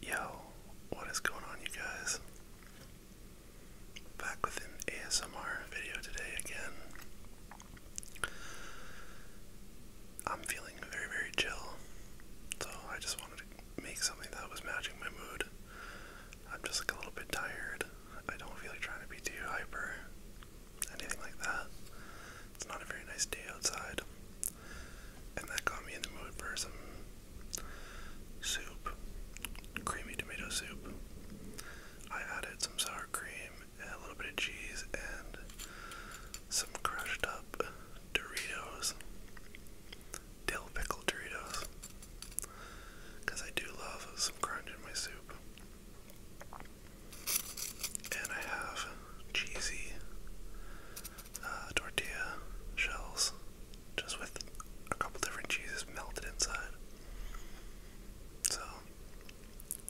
Yo, what is going on, you guys? Back with an ASMR video today again. I'm feeling very, very chill, so I just wanted to make something that was matching my mood. I'm just like a little bit tired. I don't feel like trying to be too hyper, anything like that. It's not a very nice day outside. And that got me in the mood for some soup. Creamy tomato soup. I added some sour cream, and a little bit of cheese, and some crushed up Doritos. Dill pickle Doritos. Because I do love some crunch in my soup. And I have cheesy uh, tortilla shells, just with a couple different cheeses melted inside. So,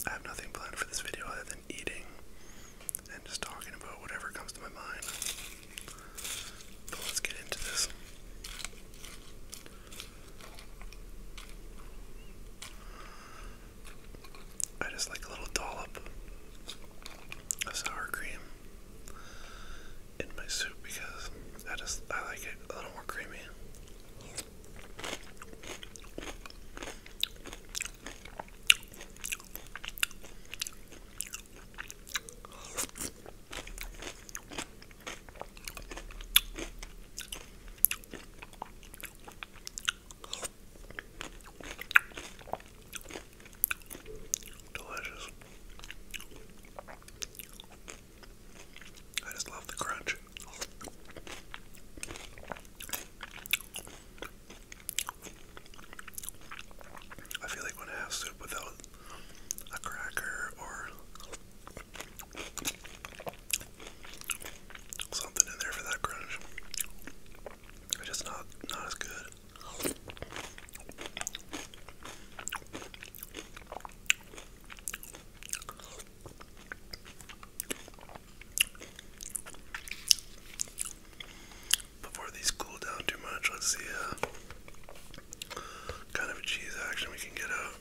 I have nothing planned for this video other than eating and just talking about whatever comes to my mind. But let's get into this. I just like a little dollop of sour cream in my soup because I just I like it a little more creamy. Delicious. I just love the crunch. I feel like when I have soup without a cracker or something in there for that crunch, just not not as good. Before these cool down too much, let's see uh, kind of cheese action we can get out.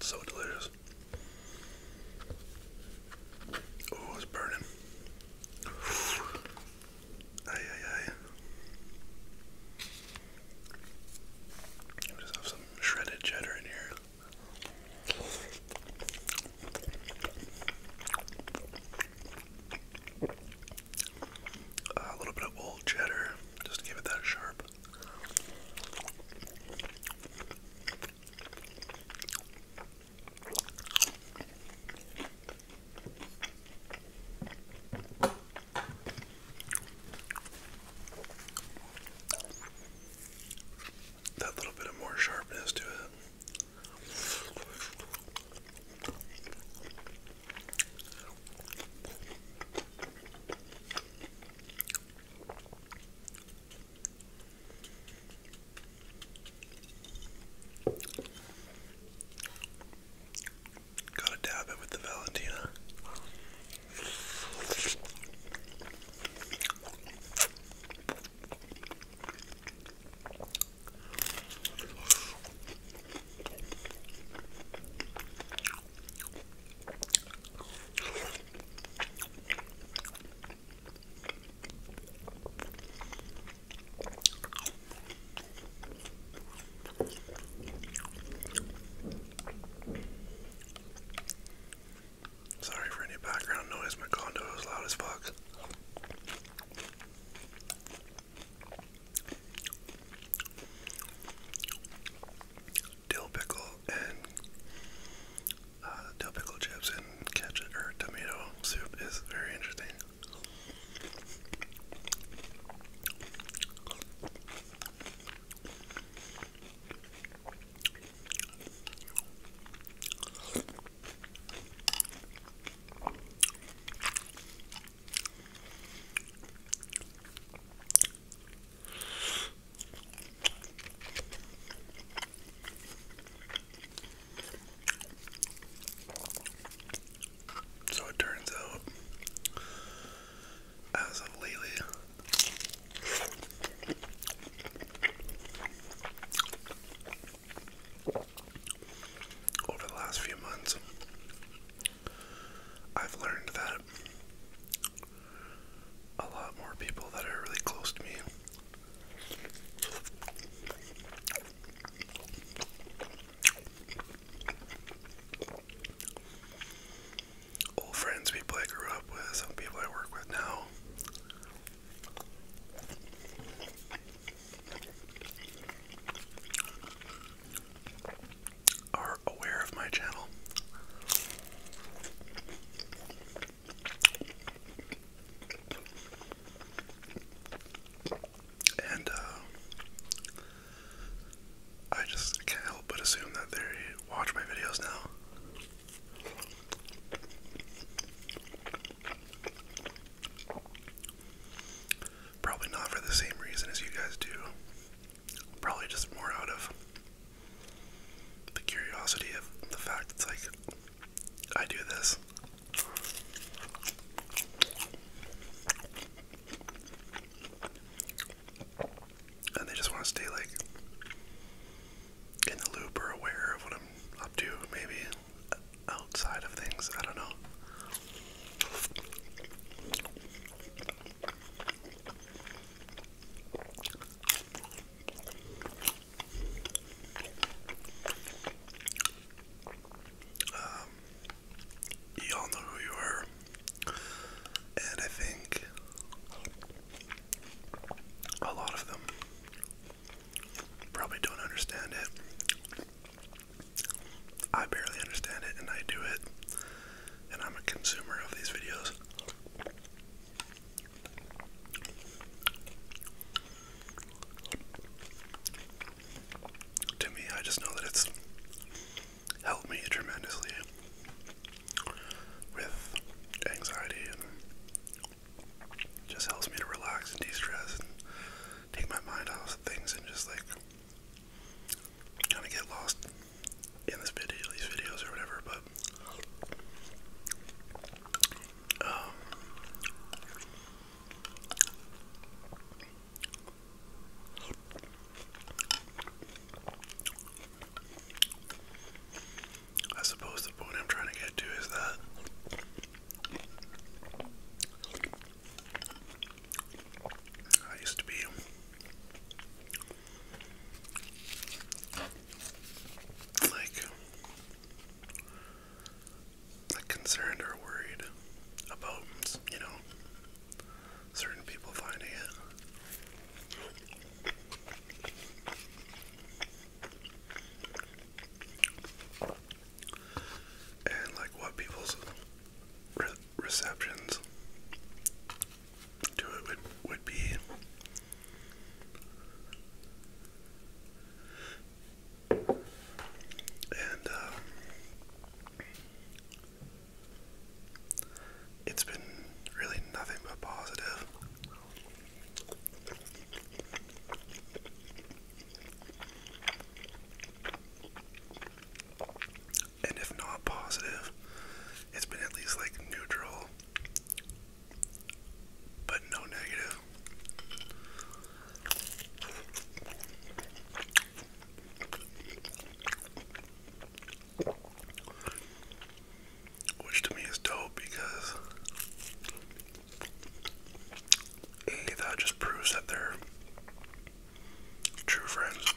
So delicious. Oh, it's burning. Ay, ay, ay. I just have some shredded cheddar in here. Uh, a little bit of old cheddar, just to give it that sharp. That little bit of more sharpness to it. Gotta dab it with the Valentina. Sorry for any background noise, my condo is loud as fuck. Dill pickle and uh, dill pickle chips and ketchup or tomato soup is very interesting. So it turns out as of lately. Over the last few months, I've learned that a lot more people that are really close to me old friends, people I grew up with, some people I work with now. Are aware of my channel. And uh, I just can't help but assume that they watch my videos now. Probably not for the same reason as you guys do. Probably just more out of the curiosity of the fact it's like, I do this and they just want to stay like in the loop or aware of what I'm up to, maybe outside of things. I don't know. Um, y'all know who you are. And I think a lot of them probably don't understand it. I barely understand it, and I do it, and I'm a consumer of these videos. To me, I just know that it's helped me tremendously with anxiety and just helps me to relax and de-stress and take my mind off of things and just like kind of get lost in this video, these videos or whatever. But um, I suppose the point I'm trying to get to is that I used to be like concerned or worried about you know certain people finding it. And like what people's receptions to it would, be. And, uh, it's been really nothing but positive. And if not positive, it's been at least like neutral, but no negative. Which to me is dope because that just proves that they're true friends.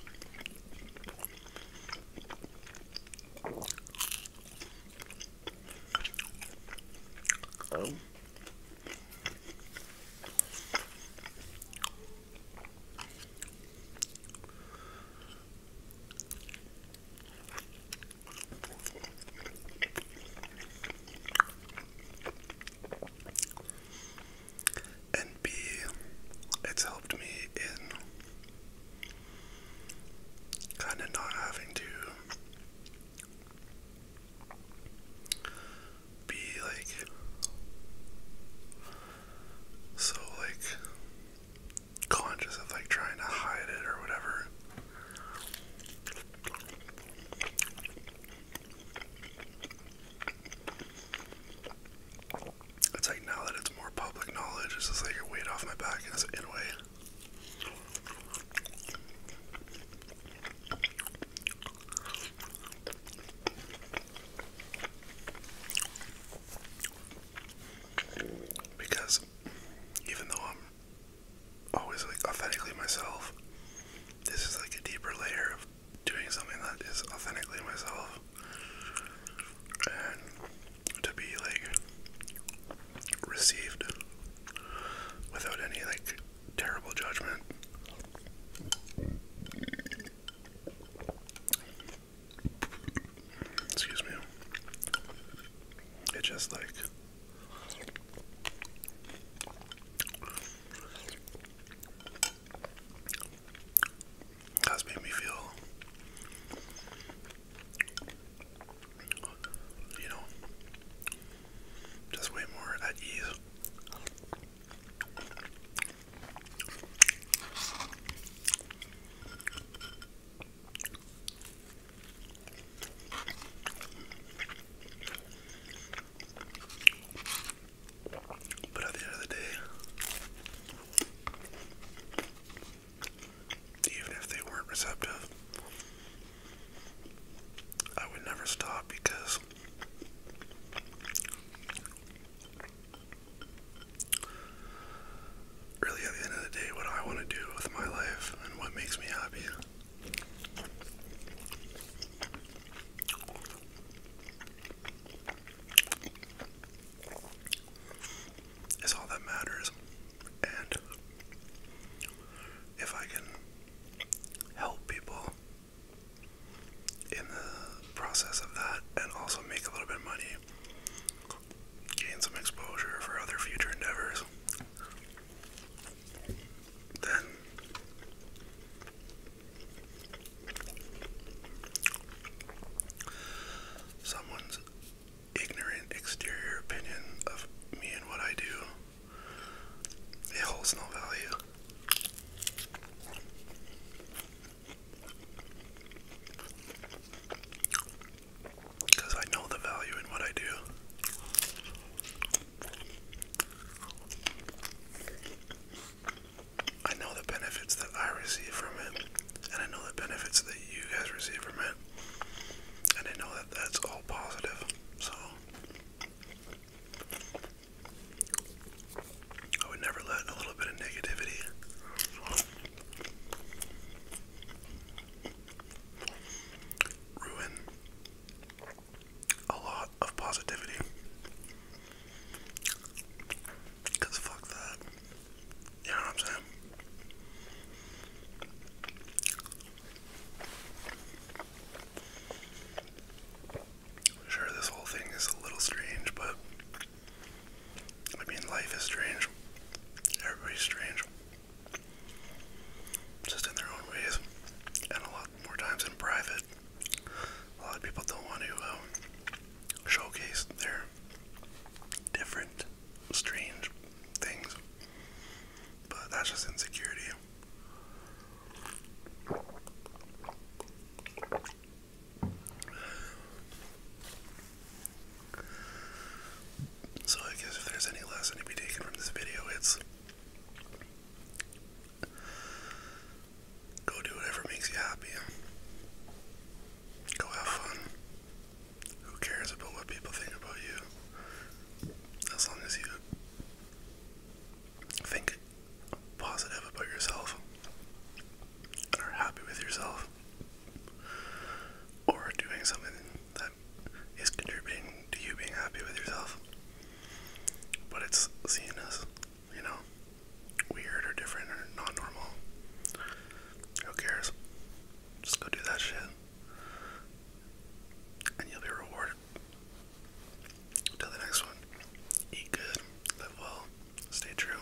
Um. And B, it's helped me in kind of not having to be like so like conscious of like trying to hide it or whatever. It's like now that it's more public knowledge, it's just like a weight off my back in a way. Because even though I'm always like authentically myself, this is like a deeper layer of doing something that is authentically myself. And to be like received without any like terrible judgment Excuse me. It just like has made me feel, you know, just way more at ease but at the end of the day, even if they weren't receptive, I would never stop because really at the end of the day what I want to do with my life and what makes me happy. Is all that matters, and if I can help people in the process of that and also make a little bit money, gain some exposure for other future endeavors. Then someone's ignorant exterior opinion of me and what I do it holds no value. Because I know the value in what I do. I know the benefits that I receive from it, and I know the benefits that you guys receive from it, and I know that that's all positive. So, I would never let a little bit of negativity ruin a lot of positivity. Because fuck that. You I'm saying? Sure, this whole thing is a little strange, but I mean, life is strange. Everybody's strange. Just in their own ways. And a lot more times in private. A lot of people don't want to uh, showcase their different, strange things. But that's just insecurity. So I guess if there's any lesson to be taken from this video, it's go do whatever makes you happy. Go have fun. Who cares about what people think about you? As long as you think positive about yourself and are happy with yourself or doing something that is contributing to you being happy with yourself. But it's seen as, you know, weird or different or not normal. Who cares? Just go do that shit. And you'll be rewarded. Till the next one. Eat good, live well, stay true.